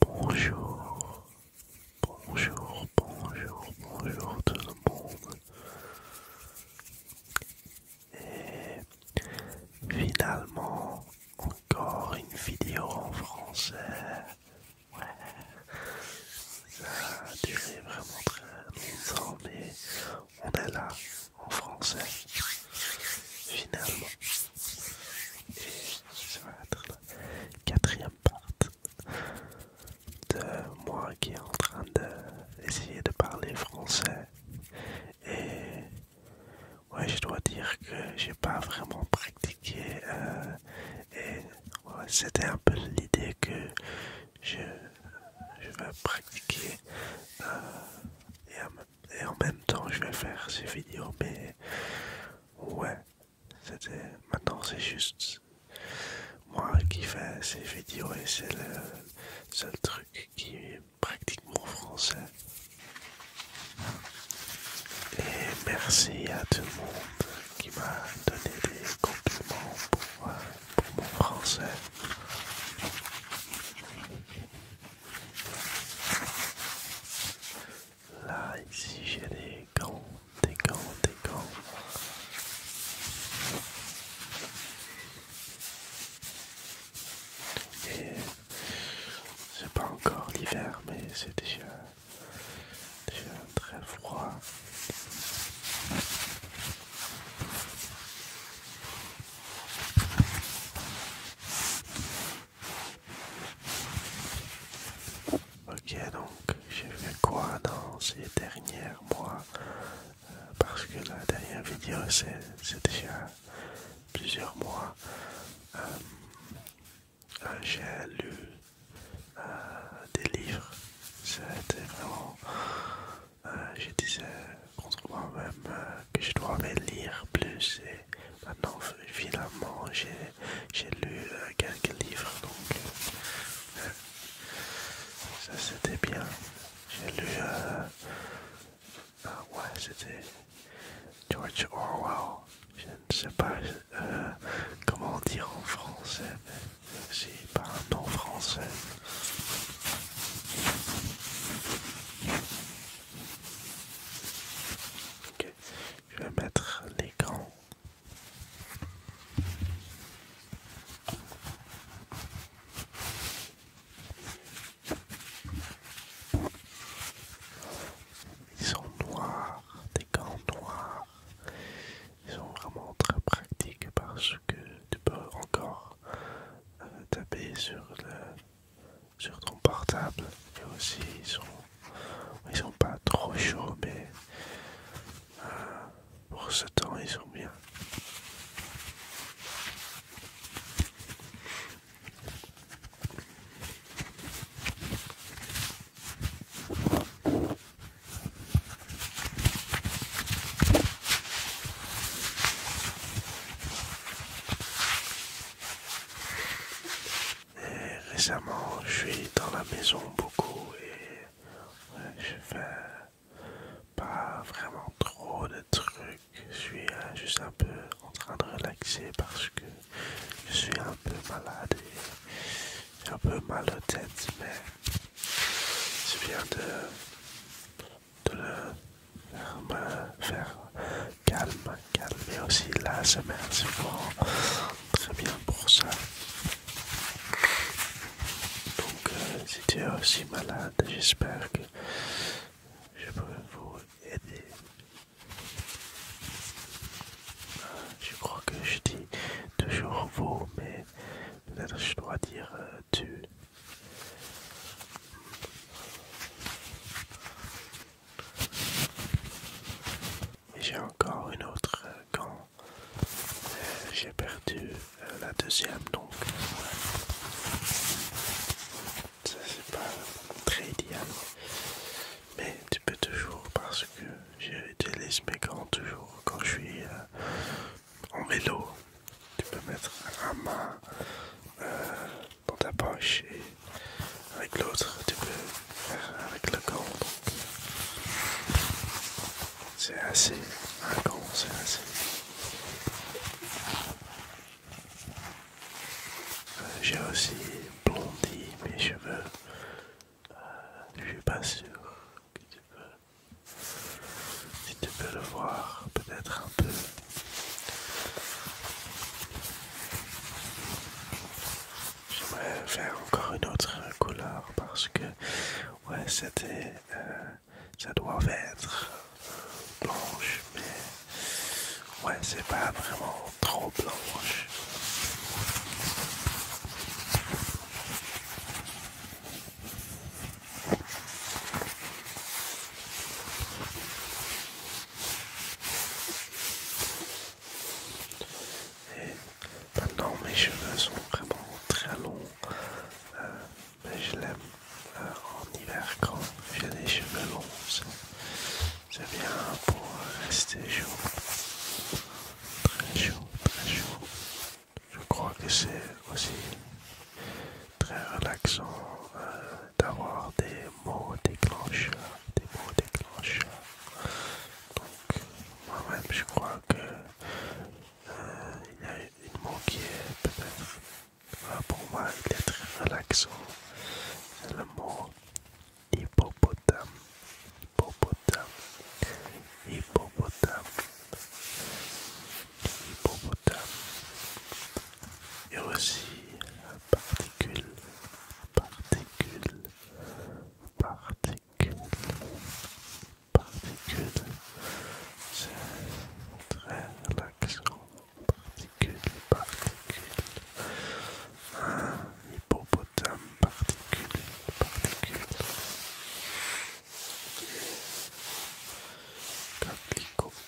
Bonjour, bonjour, bonjour, bonjour tout le monde. Et finalement, encore une vidéo en français. Ouais, ça a duré vraiment très longtemps, mais on est là en français finalement. Et ça va être la quatrième partie de moi qui est en train d'essayer de, parler français. Et ouais, je dois dire que j'ai pas vraiment pratiqué. Euh, et c'était un peu l'idée que je, je vais pratiquer. Euh, et en même temps je vais faire ces vidéos mais ouais c'était maintenant c'est juste moi qui fais ces vidéos et c'est le seul truc qui est pratiquement français et merci à tout le monde qui m'a donné des compliments pour euh, mon français Là, ici, j'ai des gants, des gants, des gants. Et c'est pas encore l'hiver, mais c'est déjà, déjà très froid. Ok donc j'ai fait quoi dans ces derniers mois euh, parce que la dernière vidéo c'est déjà plusieurs mois euh, euh, j'ai lu des livres c'était vraiment je disais contre moi-même que je dois lire plus maintenant finalement j'ai lu euh, quelques livres donc euh, ça c'était bien j'ai lu euh, ah ouais c'était George Orwell je ne sais pas comment dire en français mais pas un nom français Ok, je vais mettre les gants, Ils sont noirs, des gants noirs. Ils sont vraiment très pratiques parce que tu peux encore euh, taper sur le sur ton portable et aussi ils sont pas trop chauds mais euh, pour ce temps ils sont bien et récemment, je suis dans la maison beaucoup et je fais pas vraiment trop de trucs. Je suis euh, juste un peu en train de relaxer parce que je suis un peu malade et j'ai un peu mal au tête, mais je viens de de le faire, me faire calme, calmer aussi la semaine, c'est fort, très bien pour ça. Donc, euh, si tu es aussi malade, j'espère que je peux vous aider. Euh, je crois que je dis toujours vous, mais peut-être je dois dire tu. Euh, j'ai encore une autre gant, euh, quand euh, j'ai perdu euh, la deuxième, donc ça c'est pas très idéal, mais tu peux toujours parce que j'utilise mes gants toujours quand je suis en vélo tu peux mettre un main euh, dans ta poche et avec l'autre tu peux faire avec le gant. C'est assez, un c'est assez. Euh, j'ai aussi blondi mes cheveux. Euh, je suis pas sûr que tu peux. Si tu peux le voir, peut-être un peu. J'aimerais faire encore une autre couleur parce que ouais c'était euh, ça doit être blanche mais ouais c'est pas vraiment trop blanche et maintenant mes cheveux sont vraiment très longs, euh, mais je l'aime euh, en hiver quand j'ai des cheveux longs. C'est bien pour rester chaud. Très chaud, très chaud. Je crois que c'est aussi très relaxant. Euh, d'avoir des mots déclencheurs, des mots déclencheurs. Donc moi-même je crois que euh, il y a une mot qui est peut-être euh, pour moi il est très relaxant. le mot hippopotame. Hippopotame. Hippopotame. Hippopotame et aussi particules, particule, particule, particule. C'est très relaxant. Particule, particule. Un hippopotame, particules, particules. Capricorne,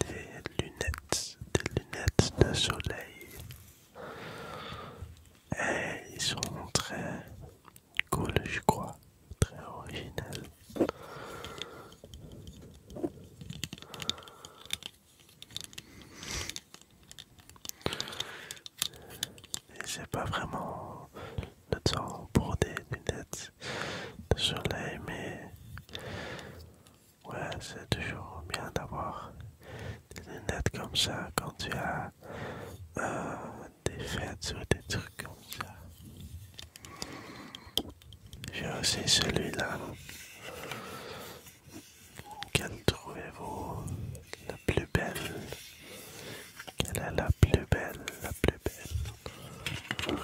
Des lunettes, des lunettes de soleil. Et ils sont très cool, je crois, très original et pas vraiment le temps pour des lunettes de soleil, mais ouais, c'est toujours bien d'avoir des lunettes comme ça quand tu as euh, des fêtes ou des trucs comme ça. J'ai aussi celui-là. Quelle trouvez-vous la plus belle Quelle est la plus belle La plus belle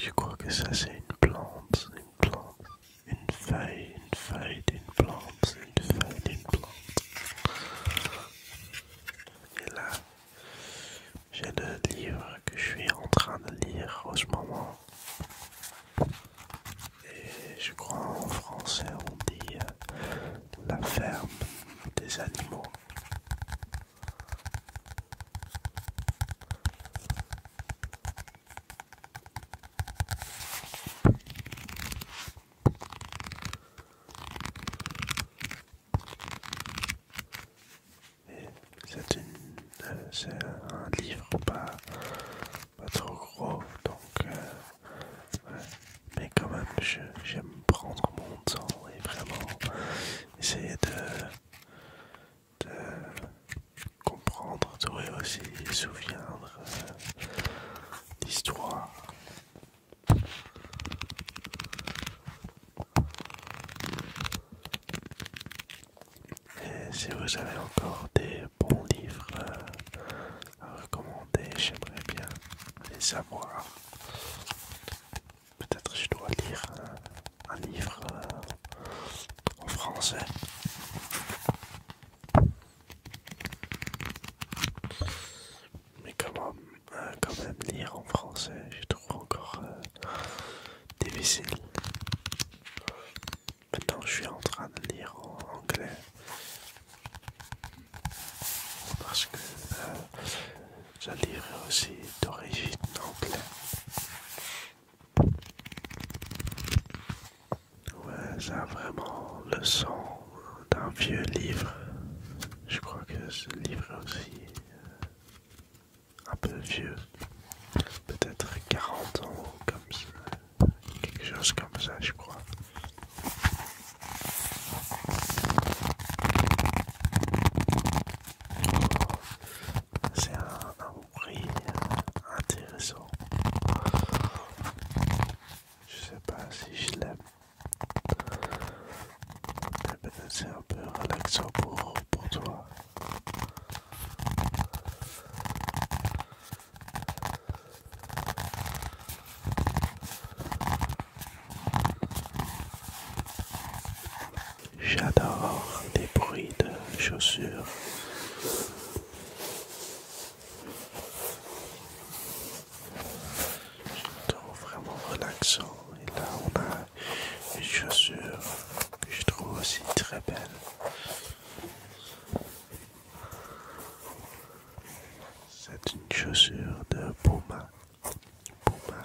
Je crois que ça c'est une plante, une plante, une feuille, une feuille, une plante, une feuille, une plante. Et là, j'ai le livre que je suis en train de lire en ce moment. Et je crois en français on dit euh, la ferme des animaux. Euh, c'est un livre pas, pas trop gros, donc euh, mais quand même j'aime prendre mon temps et vraiment essayer de, comprendre tout et aussi souviendre l'histoire euh, d'histoire. Et si vous avez encore des bons livres euh, à recommander, j'aimerais bien les savoir. Peut-être je dois lire un livre euh, en français mais comment euh, quand même lire en français je trouve encore euh, difficile. Maintenant je suis en train de lire en anglais parce que le euh, livre est aussi d'origine anglais. Ouais, ça a vraiment le son d'un vieux livre. Je crois que ce livre est aussi euh, un peu vieux. Peut-être 40 ans, comme ça. quelque chose comme ça, je crois. C'est un, euh, intéressant. Je sais pas si je l'aime c'est un peu relaxant pour, toi. J'adore des bruits de chaussures. Je trouve vraiment relaxant. Et là, on a une chaussure que je trouve aussi très belle. C'est une chaussure de Puma. Puma.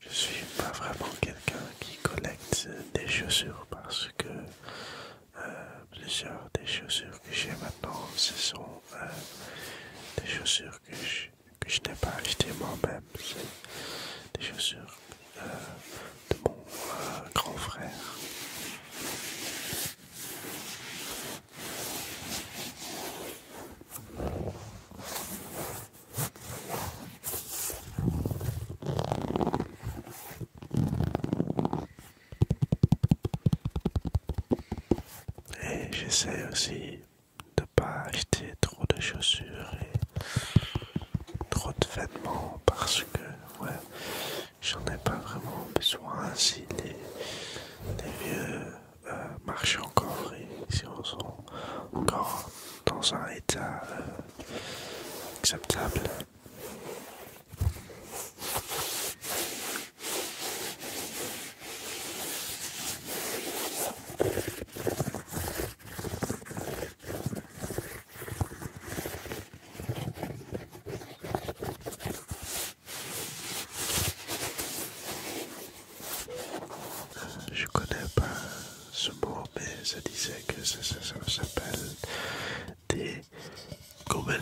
je, ne suis pas vraiment quelqu'un qui collecte des chaussures parce que euh, plusieurs des chaussures que j'ai maintenant, ce sont euh, des chaussures que je, que je n'ai pas achetées moi-même. des chaussures de mon grand frère. Et j'essaie aussi de pas acheter trop de chaussures et trop de vêtements parce que ouais, j'en ai pas vraiment besoin si les, vieux euh, marchent encore si on sont encore dans un état euh, acceptable. Je connais pas ce mot, mais ça disait que ça, s'appelle des gobelets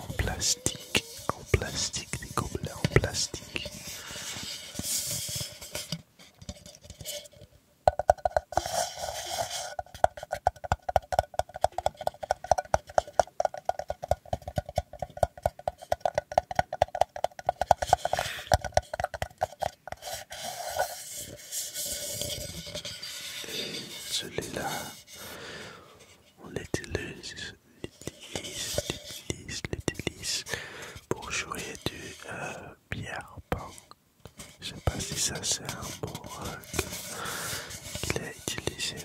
en plastique, en plastique, des gobelets en plastique. Celui-là, on l'utilise, l'utilise, l'utilise pour jouer du euh, je sais pas si ça c'est un mot qu'il a utilisé.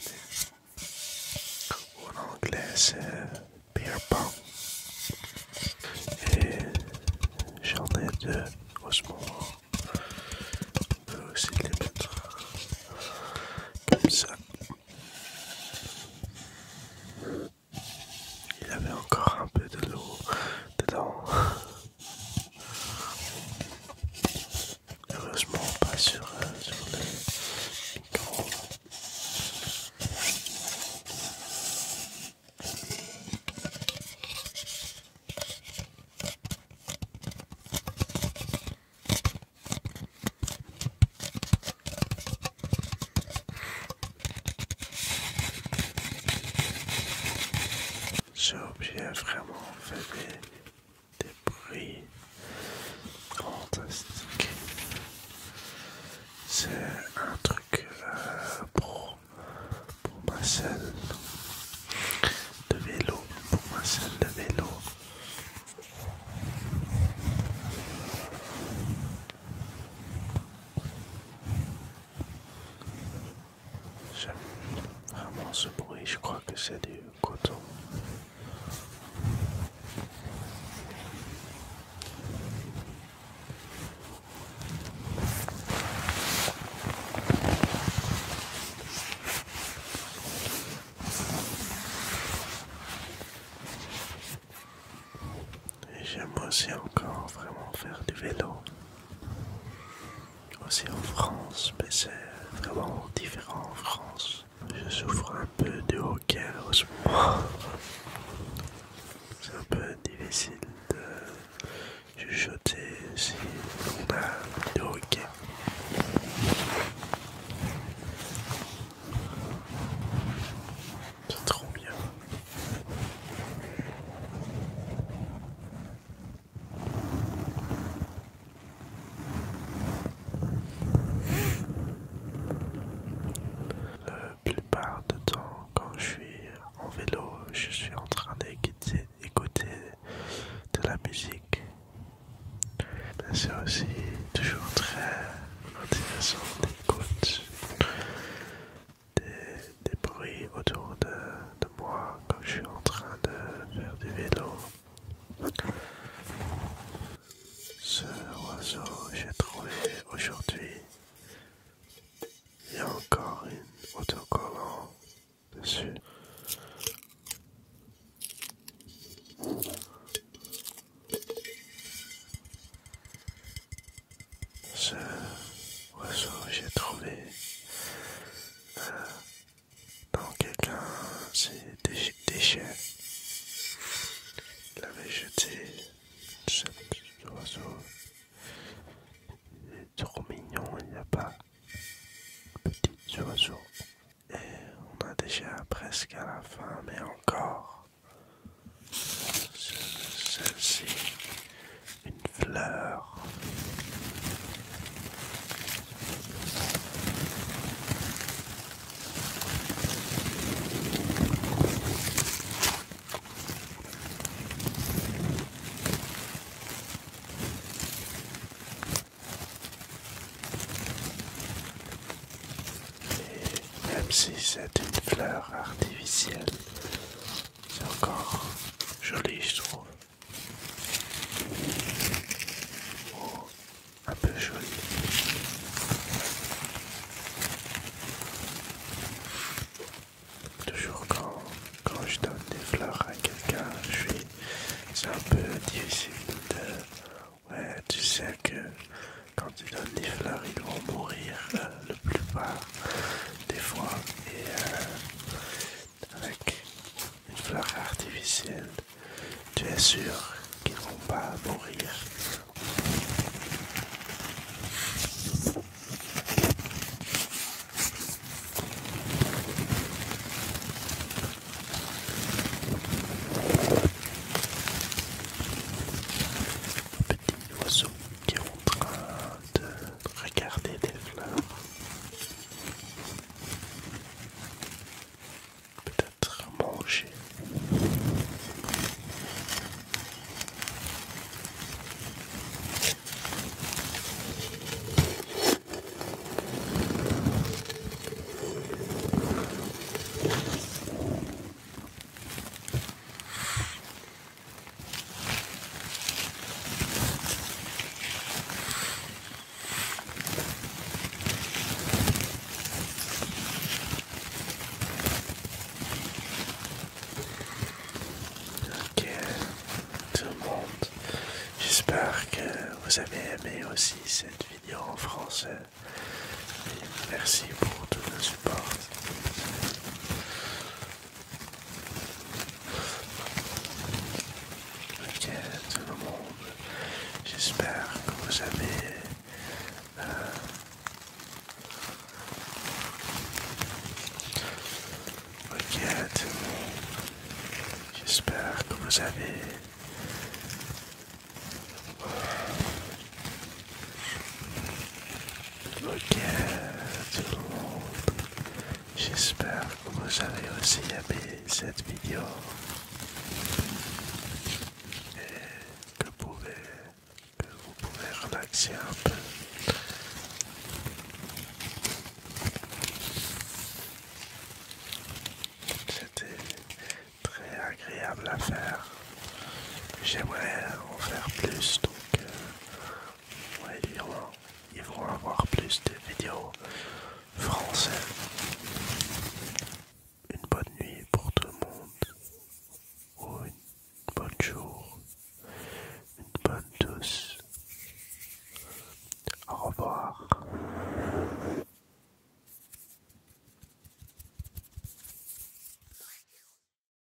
En anglais c'est beer pong. Et j'en ai deux en On peut aussi les mettre comme ça. Il avait encore un peu de l'eau dedans. Heureusement pas sur, euh, sur le micro. J'ai oublié vraiment fait des, prix fantastiques. C'est un truc euh, pour, pour ma selle de vélo. Pour ma selle de vélo. J'aime vraiment ce bruit, je crois que c'est du coton. Et j'aime aussi encore vraiment faire du vélo. Aussi en France, mais c'est vraiment différent en France. Je souffre un peu de hockey en ce moment. C'est un peu difficile de chuchoter si on a de hockey. C'est trop bien. La plupart du temps, quand je suis en vélo, je suis en train d'écouter de la musique. c'est aussi toujours très intéressant d'écouter des, bruits autour de, moi quand je suis en train de faire du vélo. Ce oiseau, j'ai trouvé aujourd'hui. Il y a encore une autocollant dessus ce oiseau j'ai trouvé euh, dans quelqu'un c'est déchet déchets il avait jeté Ce oiseau il est trop mignon il n'y a pas petit oiseau et on a déjà presque à la fin mais encore celle-ci une fleur. Et même si c'est une fleur artificielle, c'est encore joli, je trouve. Oh, un peu joli. Toujours quand, quand je donne des fleurs à quelqu'un, C'est un peu difficile Ouais, tu sais que quand tu donnes des fleurs, ils vont mourir. Euh, la plupart des fois et euh, avec une fleur artificielle, tu es sûr qu'ils vont pas mourir. Des oiseaux qui sont en train de regarder des fleurs. Peut-être manger. Ok, tout le monde, j'espère que vous avez aimé aussi cette vidéo en français. merci pour tout le support. Ok, tout le monde, j'espère que vous avez Ok, tout le monde, j'espère que vous avez... Ok tout le monde, j'espère que vous avez aussi aimé cette vidéo et que vous pouvez, que vous pouvez relaxer un peu. C'était très agréable à faire. J'aimerais en faire plus, donc euh, ouais, ils, vont, avoir plus de vidéos françaises. Une bonne nuit pour tout le monde, ou une bonne jour, une bonne douce. Au revoir.